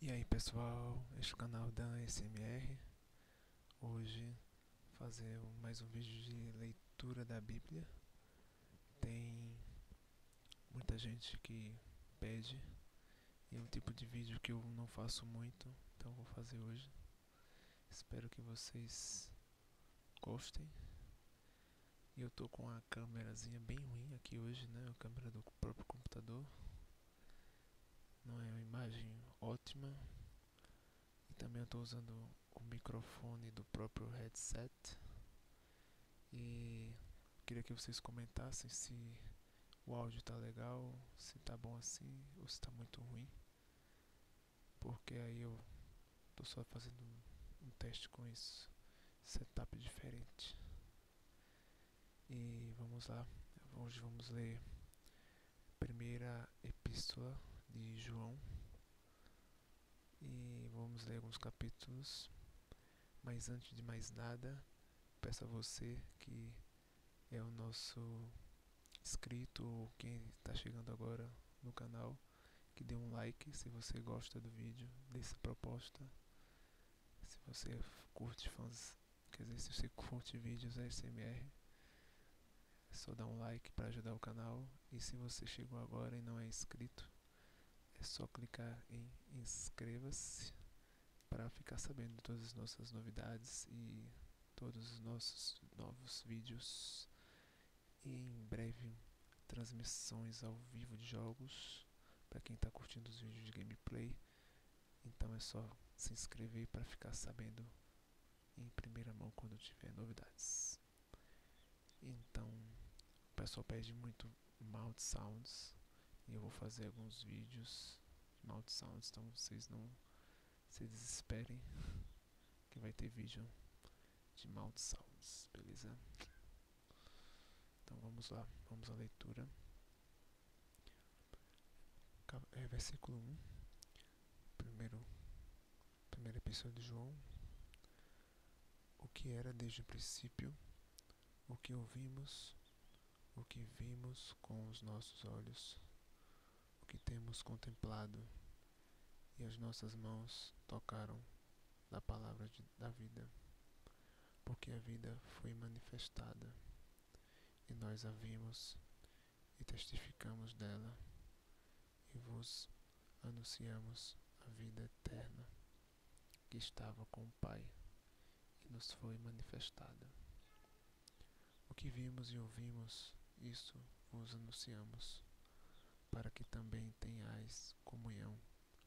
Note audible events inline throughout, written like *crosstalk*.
E aí pessoal, este é o canal da SMR. Hoje fazer mais um vídeo de leitura da Bíblia. Tem muita gente que pede e é um tipo de vídeo que eu não faço muito, então vou fazer hoje. Espero que vocês gostem. eu tô com uma câmerazinha bem ruim aqui hoje, né? A câmera do o computador. Não é uma imagem ótima. E também estou usando o microfone do próprio headset. E queria que vocês comentassem se o áudio está legal, se está bom assim ou se está muito ruim. Porque aí eu estou só fazendo um teste com isso. Setup diferente. E vamos lá, hoje vamos ler a primeira epístola de João e vamos ler alguns capítulos. Mas antes de mais nada, peço a você que é o nosso inscrito ou quem está chegando agora no canal que dê um like se você gosta do vídeo, dê dessa proposta se você curte fãs, quer dizer, se você curte vídeos ASMR, é só dar um like para ajudar o canal. E se você chegou agora e não é inscrito, é só clicar em inscreva-se para ficar sabendo de todas as nossas novidades e todos os nossos novos vídeos. E em breve, transmissões ao vivo de jogos. Para quem está curtindo os vídeos de gameplay, então é só se inscrever para ficar sabendo em primeira mão quando tiver novidades. Então, o pessoal pede muito mouth sounds e eu vou fazer alguns vídeos de mouth sounds, então vocês não se desesperem *laughs* que vai ter vídeo de mouth sounds, beleza? Então vamos lá, vamos à leitura. É, versículo 1, primeiro, primeira epístola de João. O que era desde o princípio, o que ouvimos, o que vimos com os nossos olhos, o que temos contemplado e as nossas mãos tocaram da palavra da vida, porque a vida foi manifestada e nós a vimos e testificamos dela e vos anunciamos a vida eterna que estava com o Pai e nos foi manifestada. O que vimos e ouvimos, isso vos anunciamos, para que também tenhais comunhão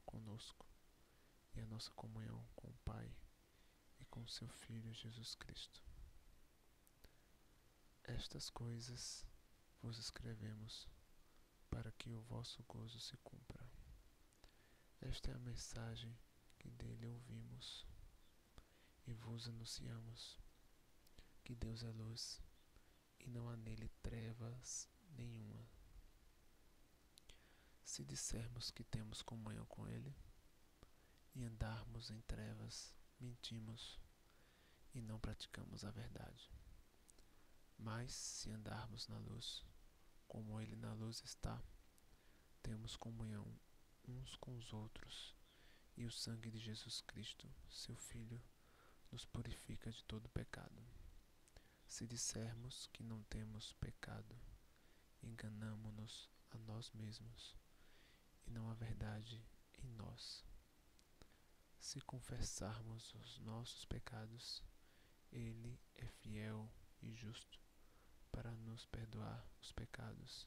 conosco e a nossa comunhão com o Pai e com seu Filho Jesus Cristo. Estas coisas vos escrevemos para que o vosso gozo se cumpra. Esta é a mensagem que dele ouvimos e vos anunciamos: que Deus é luz e não há nele trevas nenhuma. Se dissermos que temos comunhão com ele e andarmos em trevas, mentimos e não praticamos a verdade. Mas se andarmos na luz, como ele na luz está, temos comunhão uns com os outros, e o sangue de Jesus Cristo, seu Filho, nos purifica de todo pecado. Se dissermos que não temos pecado, enganamo-nos a nós mesmos, e não há verdade em nós. Se confessarmos os nossos pecados, Ele é fiel e justo para nos perdoar os pecados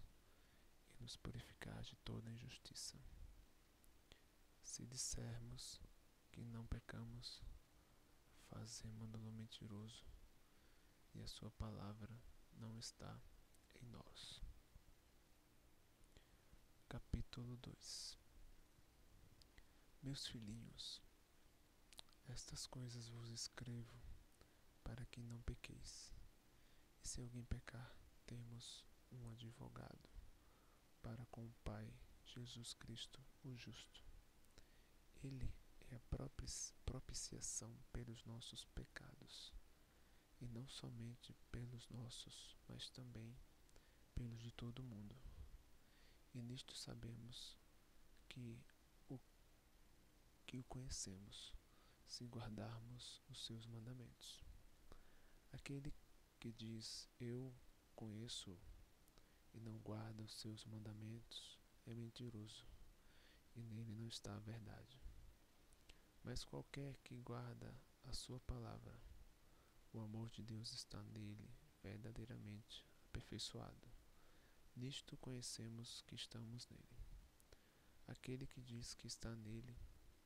e nos purificar de toda injustiça. Se dissermos que não pecamos, fazemo-lo mentiroso, e a sua palavra não está em nós. Capítulo 2 Meus filhinhos, estas coisas vos escrevo para que não pequeis. E se alguém pecar, temos um advogado para com o Pai, Jesus Cristo, o justo. Ele é a propiciação pelos nossos pecados, e não somente pelos nossos, mas também pelos de todo o mundo. E nisto sabemos que o, que o conhecemos, se guardarmos os seus mandamentos. Aquele que diz: Eu conheço e não guarda os seus mandamentos, é mentiroso, e nele não está a verdade. Mas qualquer que guarda a sua palavra, o amor de Deus está nele verdadeiramente aperfeiçoado. Nisto conhecemos que estamos nele. Aquele que diz que está nele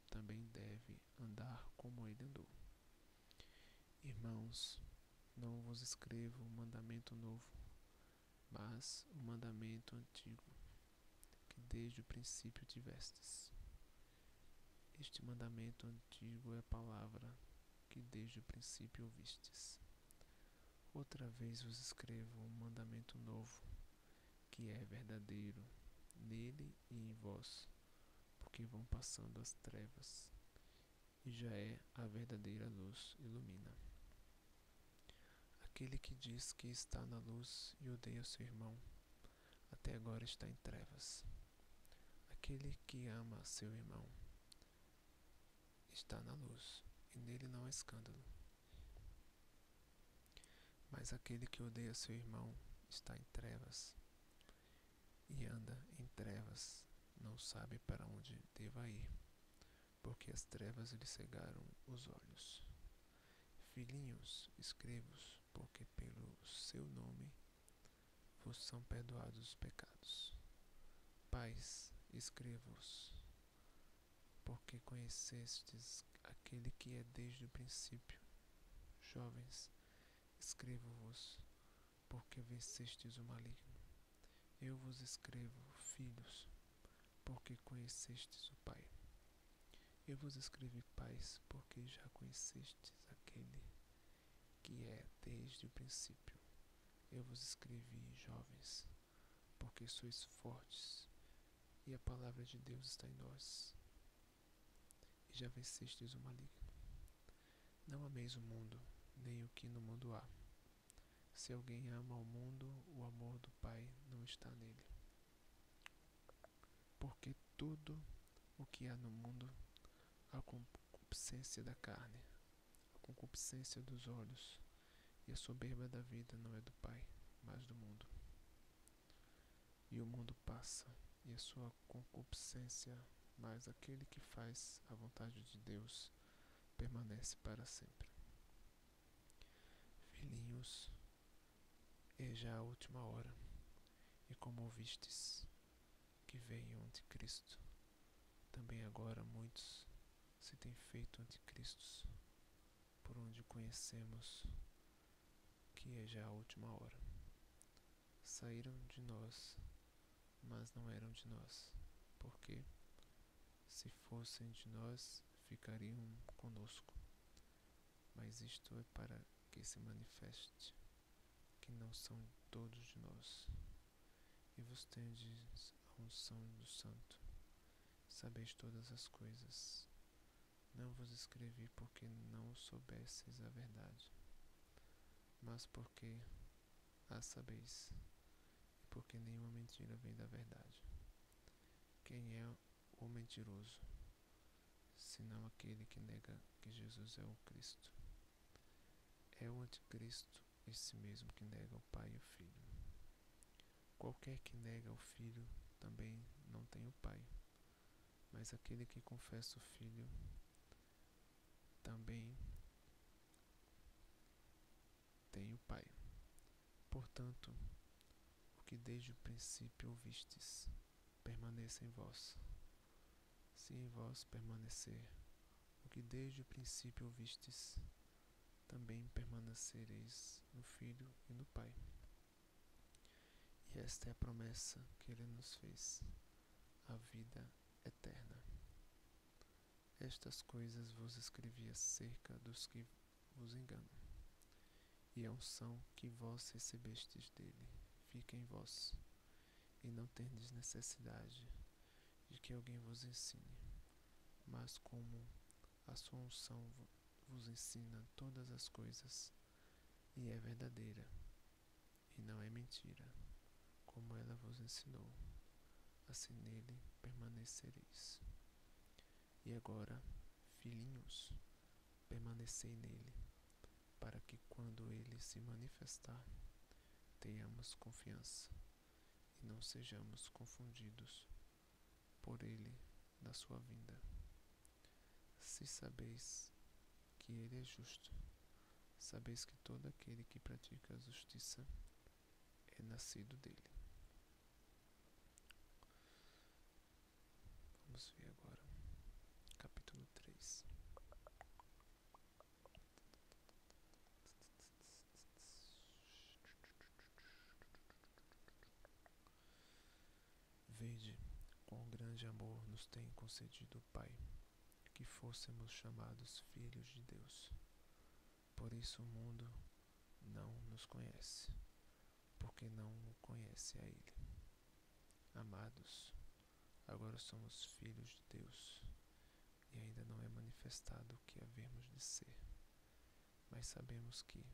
também deve andar como ele andou. Irmãos, não vos escrevo um mandamento novo, mas o mandamento antigo, que desde o princípio tivestes. Este mandamento antigo é a palavra que desde o princípio ouvistes. Outra vez vos escrevo um mandamento novo, que é verdadeiro nele e em vós, porque vão passando as trevas, e já é a verdadeira luz ilumina. Aquele que diz que está na luz e odeia seu irmão, até agora está em trevas. Aquele que ama seu irmão está na luz, e nele não há escândalo. Mas aquele que odeia seu irmão está em trevas e anda em trevas, não sabe para onde deva ir, porque as trevas lhe cegaram os olhos. Filhinhos, escrevos, porque pelo seu nome vos são perdoados os pecados. Pais, escrevos, porque conhecestes aquele que é desde o princípio. Jovens, Escrevo-vos, porque vencestes o maligno. Eu vos escrevo, filhos, porque conhecestes o Pai. Eu vos escrevi pais, porque já conhecestes aquele que é desde o princípio. Eu vos escrevi, jovens, porque sois fortes, e a palavra de Deus está em nós, e já vencestes o maligno. Não ameis o mundo, nem o que no mundo há. Se alguém ama o mundo, o amor do Pai não está nele. Porque tudo o que há no mundo, a concupiscência da carne, a concupiscência dos olhos e a soberba da vida não é do Pai, mas do mundo. E o mundo passa, e a sua concupiscência, mas aquele que faz a vontade de Deus permanece para sempre. Filhinhos, é já a última hora, e como ouvistes que veio ante Cristo, também agora muitos se têm feito ante anticristos, por onde conhecemos que é já a última hora. Saíram de nós, mas não eram de nós, porque, se fossem de nós, ficariam conosco. Mas isto é para que se manifeste que não são todos de nós. E vos tendes a unção do Santo, sabeis todas as coisas não vos escrevi porque não soubesseis a verdade, mas porque a sabeis, porque nenhuma mentira vem da verdade. Quem é o mentiroso, senão aquele que nega que Jesus é o Cristo? É o anticristo esse mesmo que nega o Pai e o Filho. Qualquer que nega o Filho também não tem o Pai mas aquele que confessa o Filho também tem o Pai. Portanto, o que desde o princípio ouvistes, permaneça em vós. Se em vós permanecer o que desde o princípio ouvistes, também permanecereis no Filho e no Pai. E esta é a promessa que ele nos fez, a vida eterna. Estas coisas vos escrevi acerca dos que vos enganam. E a unção que vós recebestes dele fica em vós, e não tendes necessidade de que alguém vos ensine, mas como sua unção vos ensina todas as coisas, e é verdadeira, e não é mentira, como ela vos ensinou. Assim nele permanecereis. E agora, filhinhos, permanecei nele, para que quando ele se manifestar, tenhamos confiança e não sejamos confundidos. Por ele da sua vinda. Se sabeis que ele é justo, sabeis que todo aquele que pratica a justiça é nascido dele. Vamos ver agora, capítulo três. Vede com grande amor nos tem concedido o Pai, que fôssemos chamados filhos de Deus. Por isso o mundo não nos conhece, porque não o conhece a Ele. Amados, agora somos filhos de Deus, e ainda não é manifestado o que havemos de ser, mas sabemos que,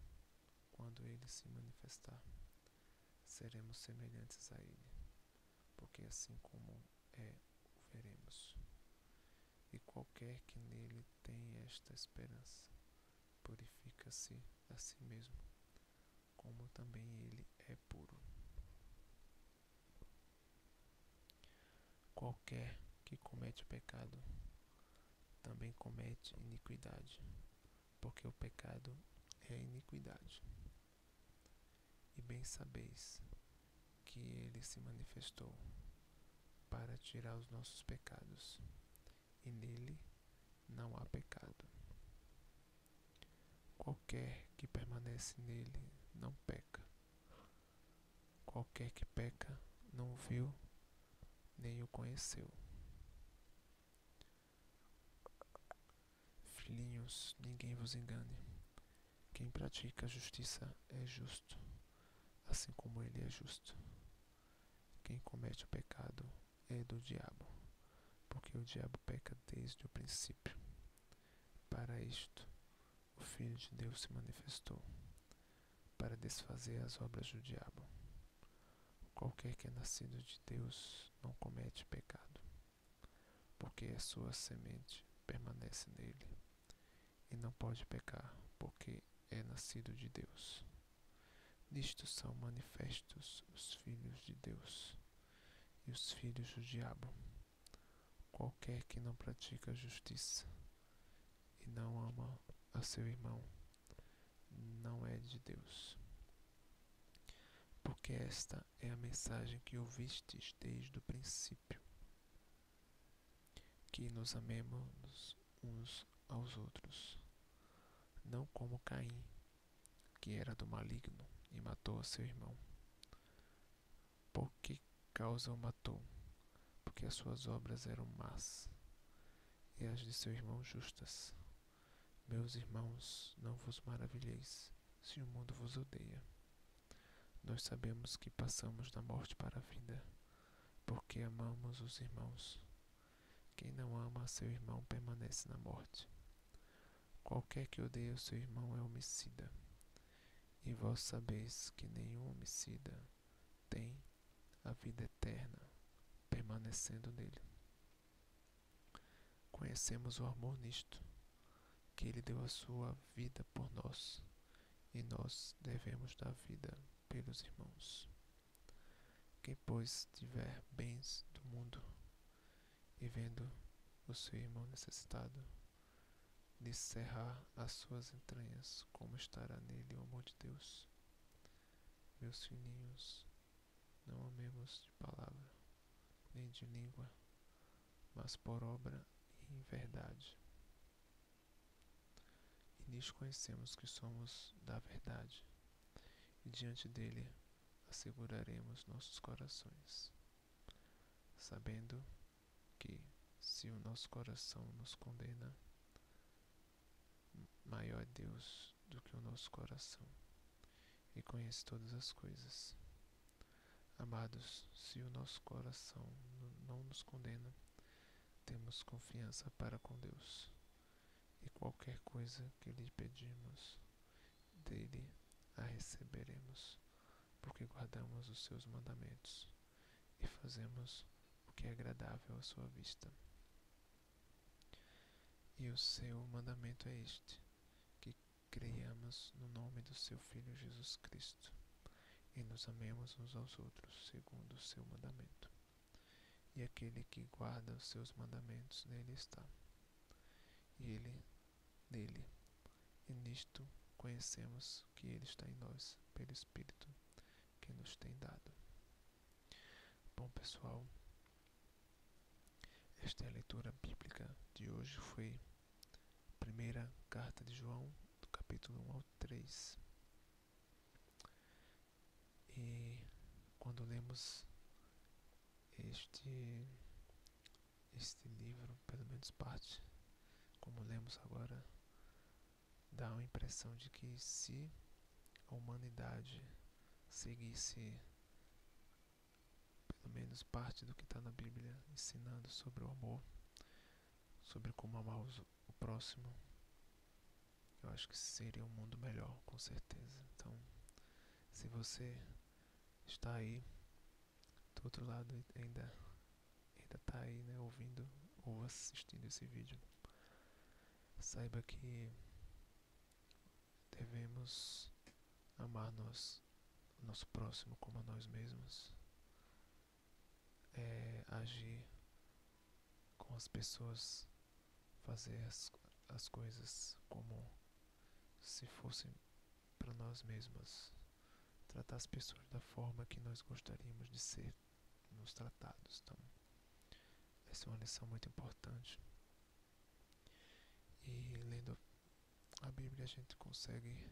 quando ele se manifestar, seremos semelhantes a ele, porque assim como é, o veremos. E qualquer que nele tem esta esperança, purifica-se a si mesmo, como também ele é puro. Qualquer que comete pecado também comete iniquidade, porque o pecado é iniquidade. E bem sabeis que ele se manifestou para tirar os nossos pecados, e nele não há pecado. Qualquer que permanece nele não peca. Qualquer que peca não viu nem o conheceu. Filhinhos, ninguém vos engane. Quem pratica a justiça é justo, assim como ele é justo. Quem comete o pecado é do diabo, porque o diabo peca desde o princípio. Para isto, o Filho de Deus se manifestou, para desfazer as obras do diabo. Qualquer que é nascido de Deus não comete pecado, porque a sua semente permanece nele, e não pode pecar, porque é nascido de Deus. Nisto são manifestos os filhos de Deus e os filhos do diabo. Qualquer que não pratica justiça e não ama a seu irmão não é de Deus. Porque esta é a mensagem que ouvistes desde o princípio: que nos amemos uns aos outros, não como Caim, que era do maligno e matou a seu irmão. por que causa o uma porque as suas obras eram más, e as de seu irmão justas. Meus irmãos, não vos maravilheis se o mundo vos odeia. Nós sabemos que passamos da morte para a vida, porque amamos os irmãos. Quem não ama seu irmão permanece na morte. Qualquer que odeia o seu irmão é homicida. E vós sabeis que nenhum homicida tem a vida eterna permanecendo nele. Conhecemos o amor nisto, que ele deu a sua vida por nós, e nós devemos dar vida pelos irmãos. Quem, pois, tiver bens do mundo e vendo o seu irmão necessitado, descerrar as suas entranhas, como estará nele o amor de Deus? Meus filhinhos, não amemos de palavra, nem de língua, mas por obra e em verdade. E nisso conhecemos que somos da verdade, e diante dele asseguraremos nossos corações, sabendo que, se o nosso coração nos condena, maior é Deus do que o nosso coração e conhece todas as coisas. Amados, se o nosso coração não nos condena, temos confiança para com Deus e qualquer coisa que lhe pedimos, dele a receberemos, porque guardamos os seus mandamentos e fazemos o que é agradável à sua vista. E o seu mandamento é este: que creiamos no nome do seu Filho Jesus Cristo e nos amemos uns aos outros, segundo o seu mandamento. E aquele que guarda os seus mandamentos nele está. E ele nele. E nisto conhecemos que ele está em nós, pelo Espírito que nos tem dado. Bom, pessoal, esta é a leitura bíblica de hoje foi a primeira carta de João, do capítulo 1 ao 3. E quando lemos este este livro, pelo menos parte, como lemos agora, dá a impressão de que se a humanidade seguisse pelo menos parte do que está na Bíblia ensinando sobre o amor, sobre como amar o próximo, eu acho que seria um mundo melhor, com certeza. Então, se você está aí do outro lado ainda ainda está aí, né, ouvindo ou assistindo esse vídeo, saiba que devemos amar nós, nosso próximo como a nós mesmos, é agir com as pessoas, fazer as, as coisas como se fossem para nós mesmos tratar as pessoas da forma que nós gostaríamos de ser nos tratados. Então, essa é uma lição muito importante. E lendo a Bíblia, a gente consegue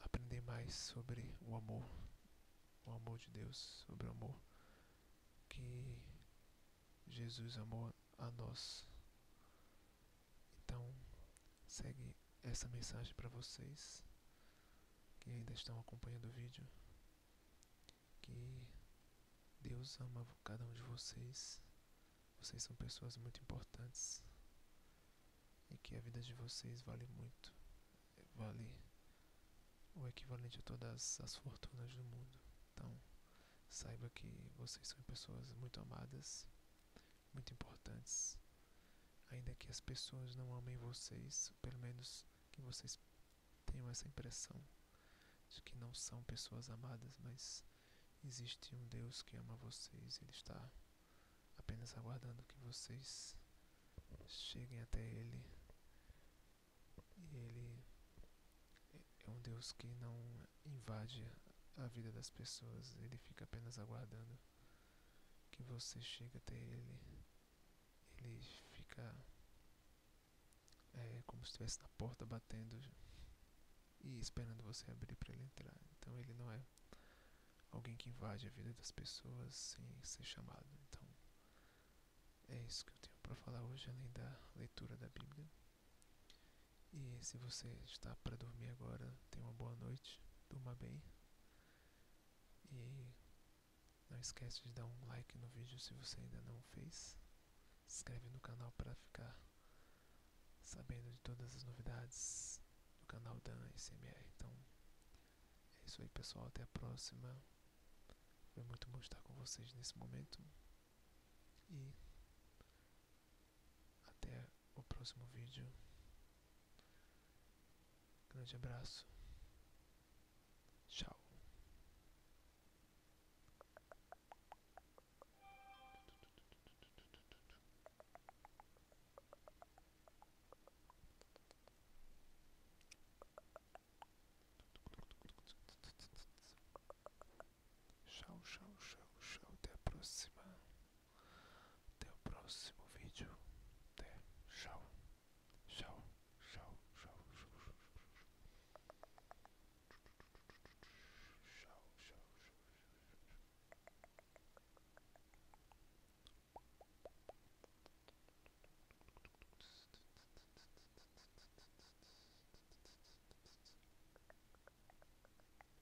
aprender mais sobre o amor, o amor de Deus, sobre o amor que Jesus amou a nós. Então, segue essa mensagem para vocês que ainda estão acompanhando o vídeo. Que Deus ama cada um de vocês. Vocês são pessoas muito importantes. E que a vida de vocês vale muito. Vale o equivalente a todas as fortunas do mundo. Então, saiba que vocês são pessoas muito amadas muito importantes. Ainda que as pessoas não amem vocês, pelo menos que vocês tenham essa impressão de que não são pessoas amadas, mas existe um Deus que ama vocês, ele está apenas aguardando que vocês cheguem até ele. E ele é um Deus que não invade a vida das pessoas, ele fica apenas aguardando que você chega até ele, ele fica é, como se estivesse na porta batendo e esperando você abrir para ele entrar. Então ele não é alguém que invade a vida das pessoas sem ser chamado. Então é isso que eu tenho para falar hoje, além da leitura da Bíblia. E se você está para dormir agora, tenha uma boa noite durma bem. E não esquece de dar um like no vídeo se você ainda não fez. Se inscreve no canal para ficar sabendo de todas as novidades do canal Dan SMR. Então é isso aí pessoal, até a próxima. Foi muito bom estar com vocês nesse momento. E até o próximo vídeo. Grande abraço. Tchau. Tchau, tchau, tchau, tchau. Até a próxima. Até o próximo vídeo. Até. Tchau. Tchau. Tchau. Tchau. Tchau. Tchau. Tchau. Tchau.